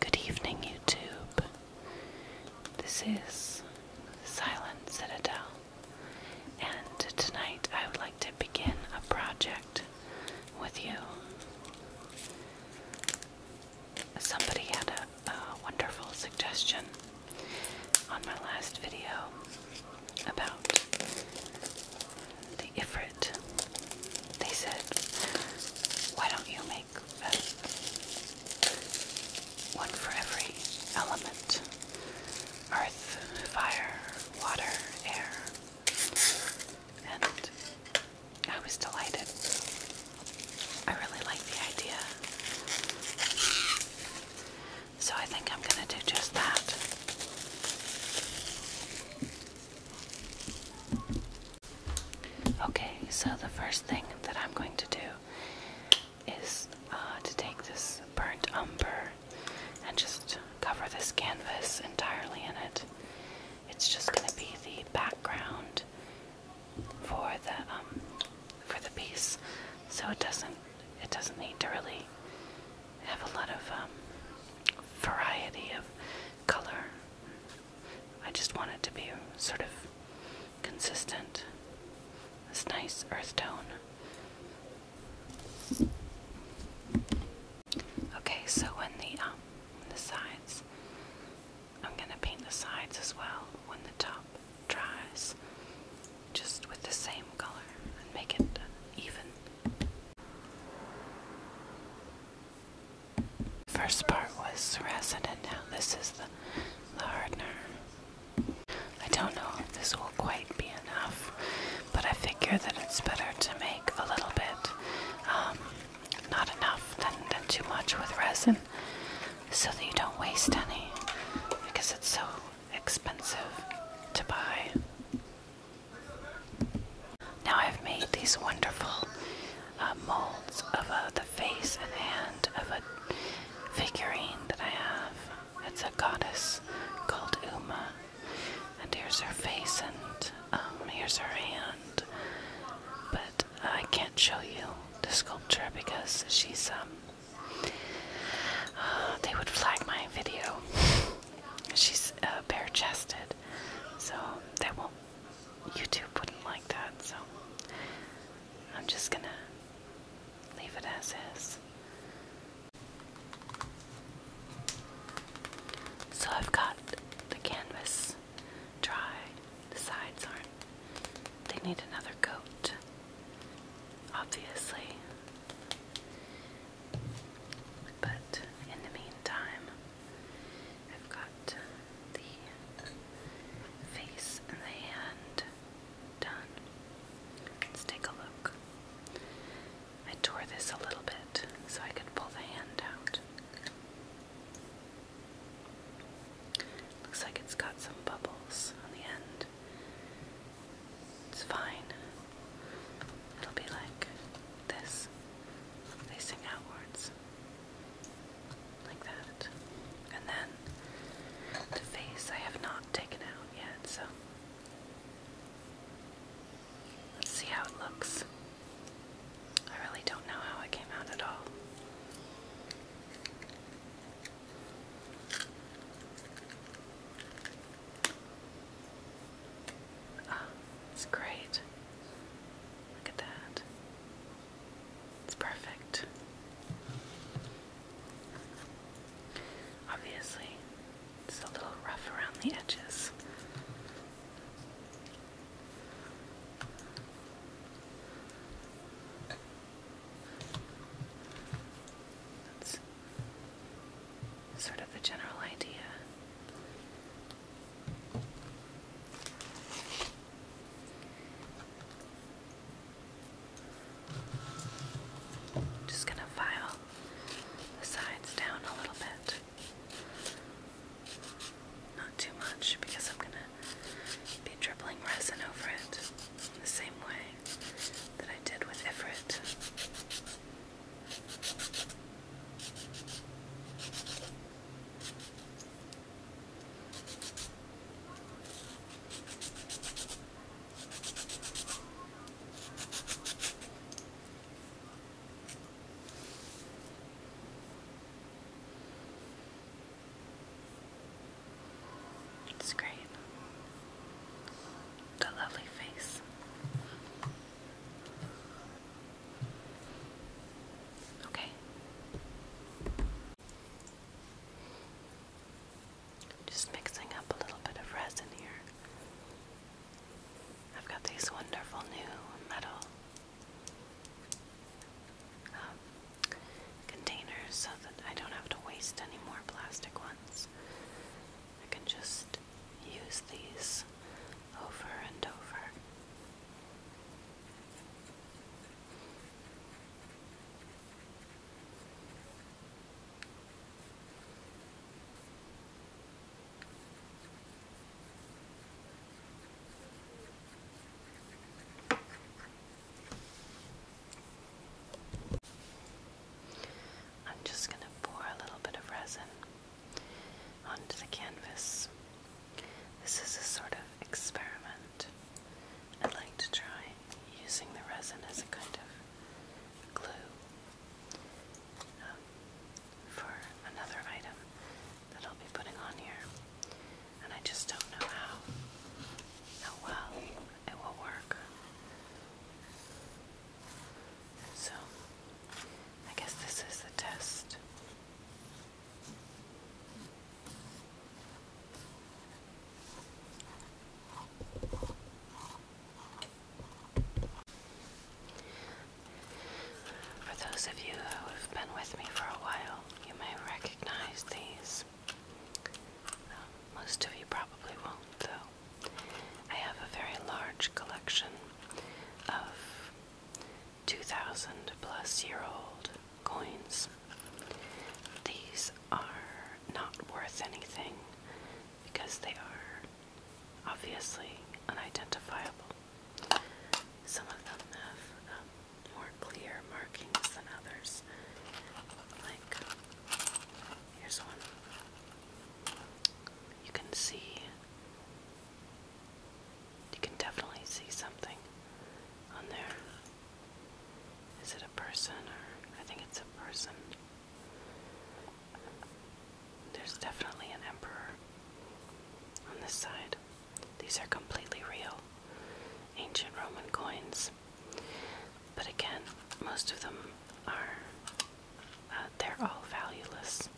Good evening, YouTube. This is Silent Citadel, and tonight I would like to begin a project with you. Somebody had a, wonderful suggestion on my last video about the Ifrit, they said, why don't you make one for every element? Earth, fire, water, air. And I was delighted. I really like the idea. So I think I'm going to do just that. Okay, so the first thing that I'm going to do is uh, to take this burnt umber and just cover this canvas entirely in it. It's just going to be the background for the um, for the piece, so it doesn't it doesn't need to really have a lot of um, variety of color. I just want it to be sort of consistent. This nice earth tone. Okay, so when the um, the sides, I'm gonna paint the sides as well when the top dries, just with the same color and make it even. First part was resin and now this is the, hardener. I don't know if this will quite be enough, but I figure that it's better to make a little bit, um, not enough than, than too much with resin, so that you don't waste any, because it's so expensive to buy. Now I've made these wonderful uh, molds of the face and hand of a figurine that I have. It's a goddess called Uma. And here's her face and um, here's her hand. But I can't show you the sculpture because she's, um, uh, they would flag my video. She's uh, bare chested so they won't YouTube wouldn't like that, so I'm just gonna leave it as is. So I've got the canvas dry. The sides aren't. They need another coat, obviously. But in the meantime, I've got the face and the hand done. Let's take a look. I tore this a little bit so I could pull the hand out. Looks like it's got some bubbles on the end. It's fine. It'll be like this. They outwards. Like that. And then the face I have not taken out yet, so let's see how it looks. I really don't know how it came out at all. Oh, it's great. Look at that. It's perfect. Obviously, it's a little rough around the edges sort of the general idea. Just going to file the sides down a little bit. Not too much because I'm going to be dribbling resin over it the same way that I did with Ifrit. It's great. The lovely face. Okay. Just mixing up a little bit of resin here. I've got these wonderful new metal um, containers so that I don't have to waste any more plastic ones. I can just use these over and over. I'm just going to pour a little bit of resin onto the canvas. This is a sort of experiment. I'd like to try using the resin as a kind of glue um, for another item that I'll be putting on here. And I just don't know how, how well it will work. So, I guess this is the test. For those of you who have been with me for a while, you may recognize these. Um, most of you probably won't, though. I have a very large collection of 2,000 plus year old coins. These are not worth anything because they are obviously unidentifiable. Some of them have um, more clear markings than others. Like, um, here's one. You can see you can definitely see something on there. Is it a person or I think it's a person. There's definitely an emperor on this side. These are completely real ancient Roman coins. But again, most of them are, uh, they're all valueless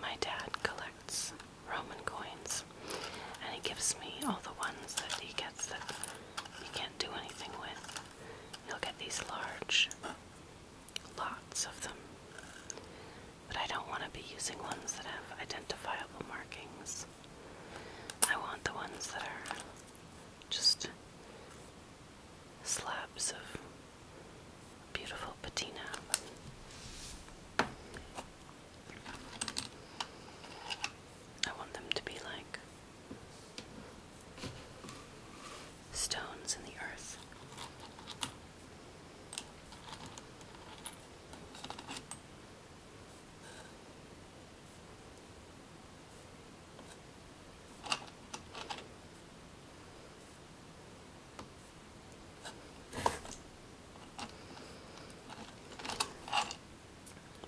my dad collects Roman coins, and he gives me all the ones that he gets that he can't do anything with. He'll get these large lots of them, but I don't want to be using ones that have identifiable markings. I want the ones that are just slabs of beautiful patina. I want them to be like stones in the earth.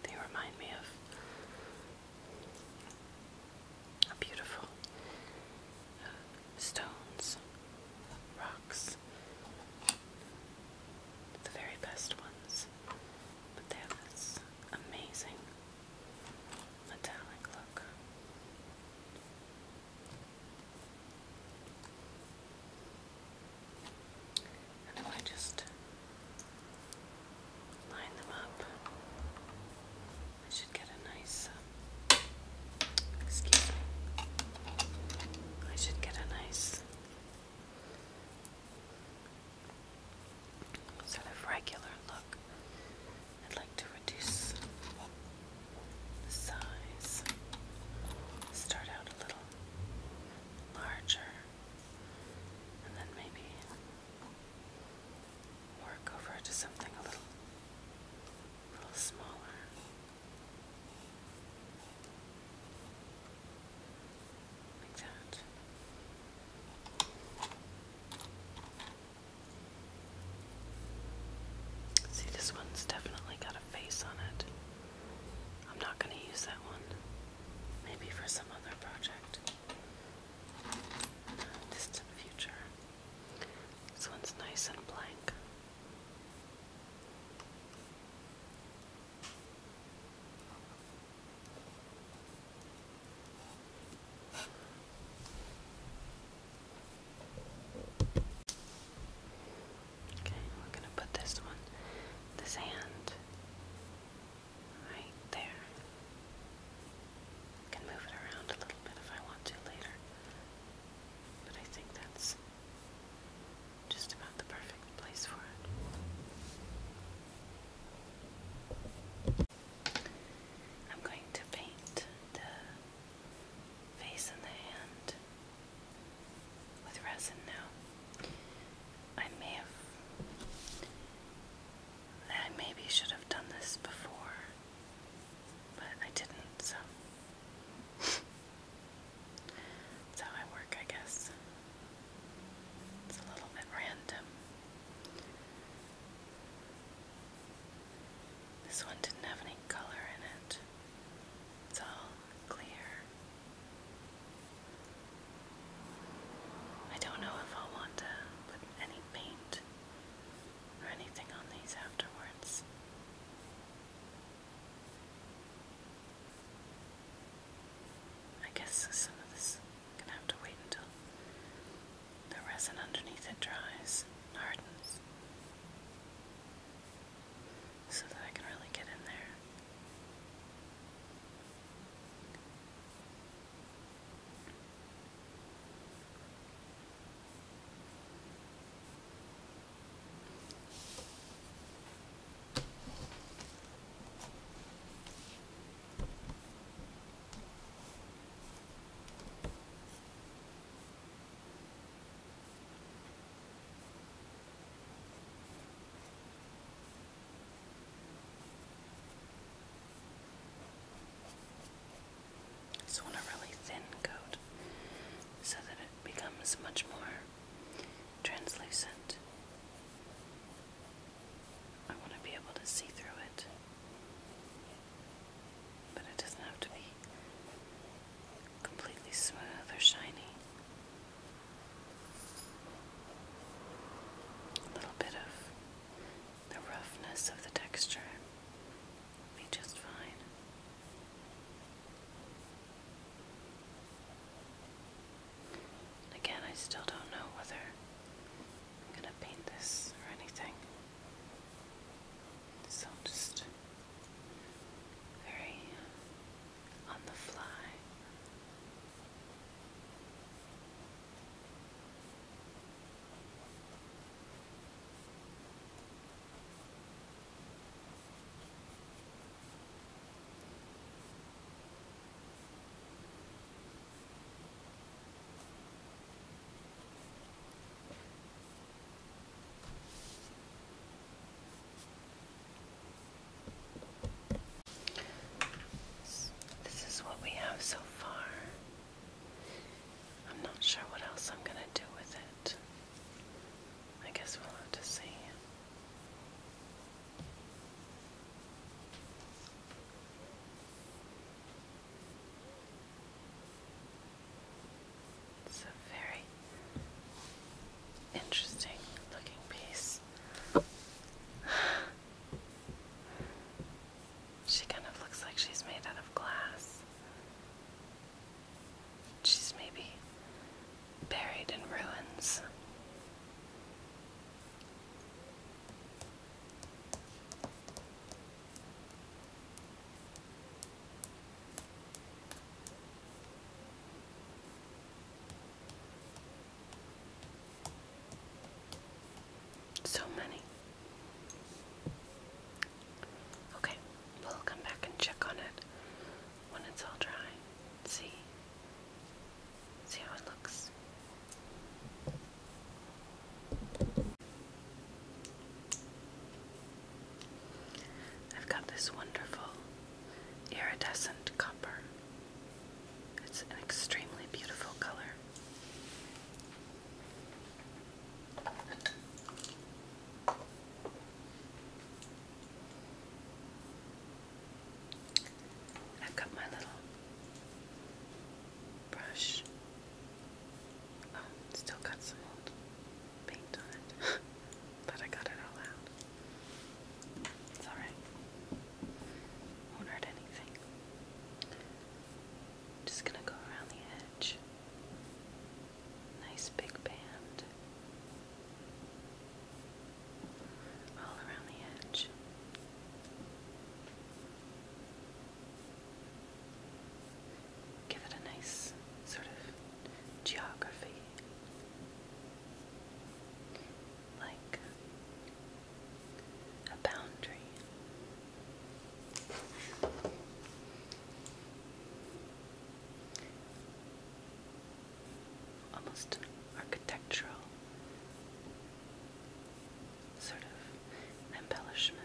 They remind me of beautiful uh, stones, rocks, the very best ones, but they have this amazing metallic look. And I just line them up. I should get a nice, um, excuse me, I should get a nice sort of regular look I'd like to reduce the size. Start out a little larger and then maybe work over to something a little a little smaller. Like that. See, this one's definitely got a face on it. I'm not going to use that one. Maybe for some other project. Distant future. This one's nice and blank. Okay, we're going to put this one, this hand, right there. can move it around a little bit if I want to later, but I think that's just about the perfect place for it. I'm going to paint the face in the hand with resin now. I may have. I maybe should have done this before, but I didn't, so. That's how I work, I guess. It's a little bit random. This one didn't have any color in it, it's all clear. I don't know if i want to put any paint or anything on these afterwards. I guess some of this i have to wait until the resin underneath it dries and hardens so that I can really get in there. So, on a really thin coat, so that it becomes much more translucent. I want to be able to see through it. But it doesn't have to be completely smooth or shiny. A little bit of the roughness of the texture will be just fine. Again, I still don't know whether I'm going to paint this or anything. So i just very on the fly. This is what we have so far. I'm not sure what else I'm going to do with it. I guess we'll have to see. It's a very interesting looking piece. she kind of looks like she's made out of glass. She's maybe buried in ruins. So many. Okay, we'll come back and check on it when it's all dry. See. See how it looks. I've got this wonderful iridescent copper. It's an extremely beautiful color. I've got my little brush Oh, still got some old paint on it, but I got it all out. It's alright. Won't hurt anything. Just gonna go around the edge. Nice big band. All around the edge give it a nice sort of geography. Like a boundary. Almost architectural sort of embellishment.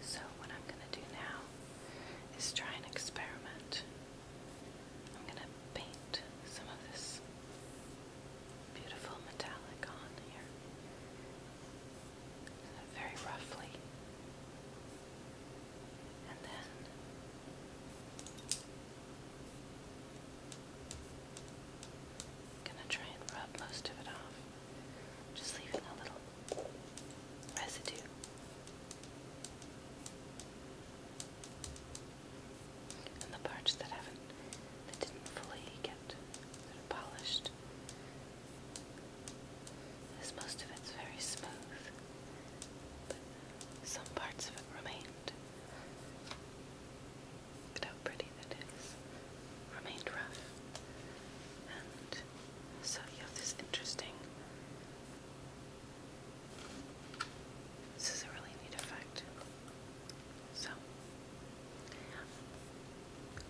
So, what I'm going to do now is try an experiment. I'm going to paint some of this beautiful metallic on here. Very roughly. And then gonna try and rub most of it off. Just leaving a little residue. And the parts that haven't that didn't fully get polished. As most of it's very smooth, but some parts of it remained. Look how pretty that is. Remained rough. And so you have this interesting. This is a really neat effect. So,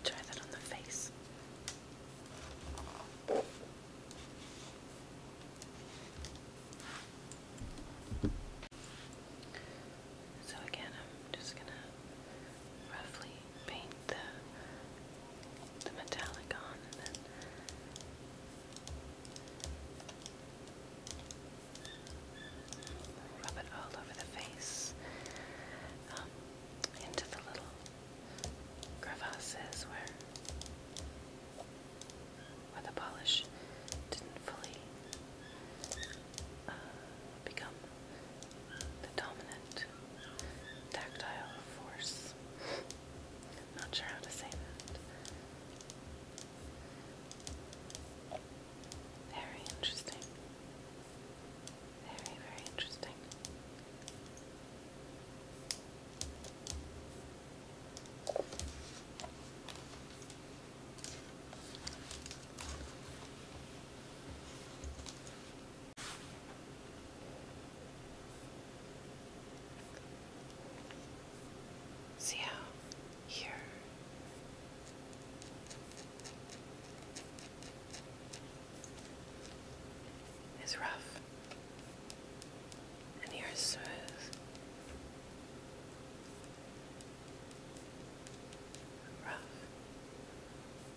try that on the face. So, again, I'm just going to roughly paint the, the metallic on Rub it all over the face, um, into the little crevasses where the polish didn't fully uh, become the dominant tactile force. Not sure how to say that. Very interesting. Very, very interesting. See how here is rough and here is smooth. Rough.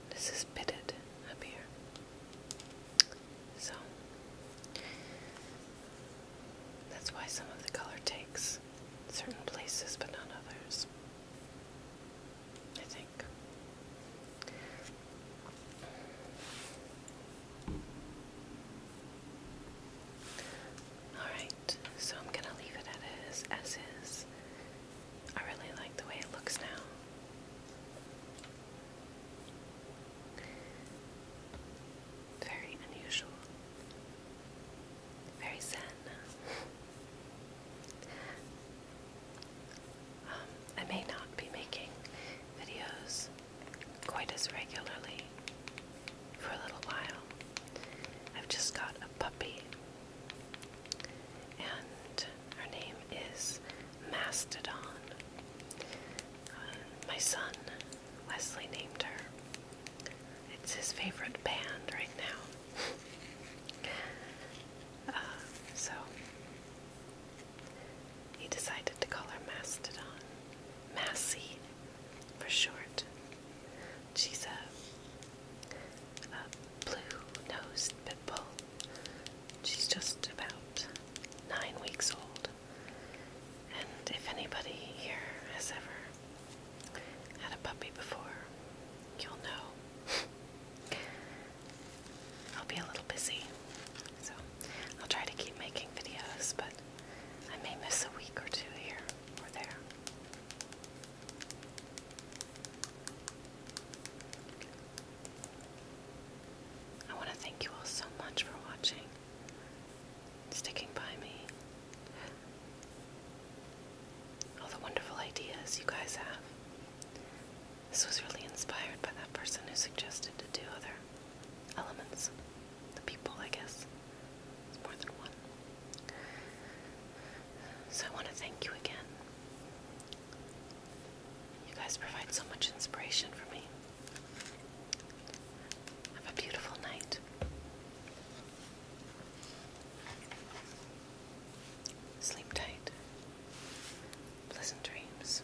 This is pitted up here. So that's why some of the color takes certain places but not others. I think. Alright, so I'm gonna leave it at as is. I really like the way it looks now. Very unusual. Very zen. Um, I may not be making videos quite as regularly for a little while. I've just got a puppy, and her name is Mastodon. Uh, my son Wesley named her. It's his favorite band right now. Uh, so he decided to call her Mastodon. Massy, for short. She's a blue-nosed pit bull. She's just about nine weeks old. And if anybody here has ever had a puppy before, you'll know. I'll be a little busy, so I'll try to keep making videos, but I may miss a week or two here or there. I want to thank you all so much for watching, sticking by me, all the wonderful ideas you guys have. This was really inspired by that person who suggested to do other elements. The people, I guess. It's more than one. So I want to thank you again. You guys provide so much inspiration for me. Have a beautiful night. Sleep tight. Pleasant dreams.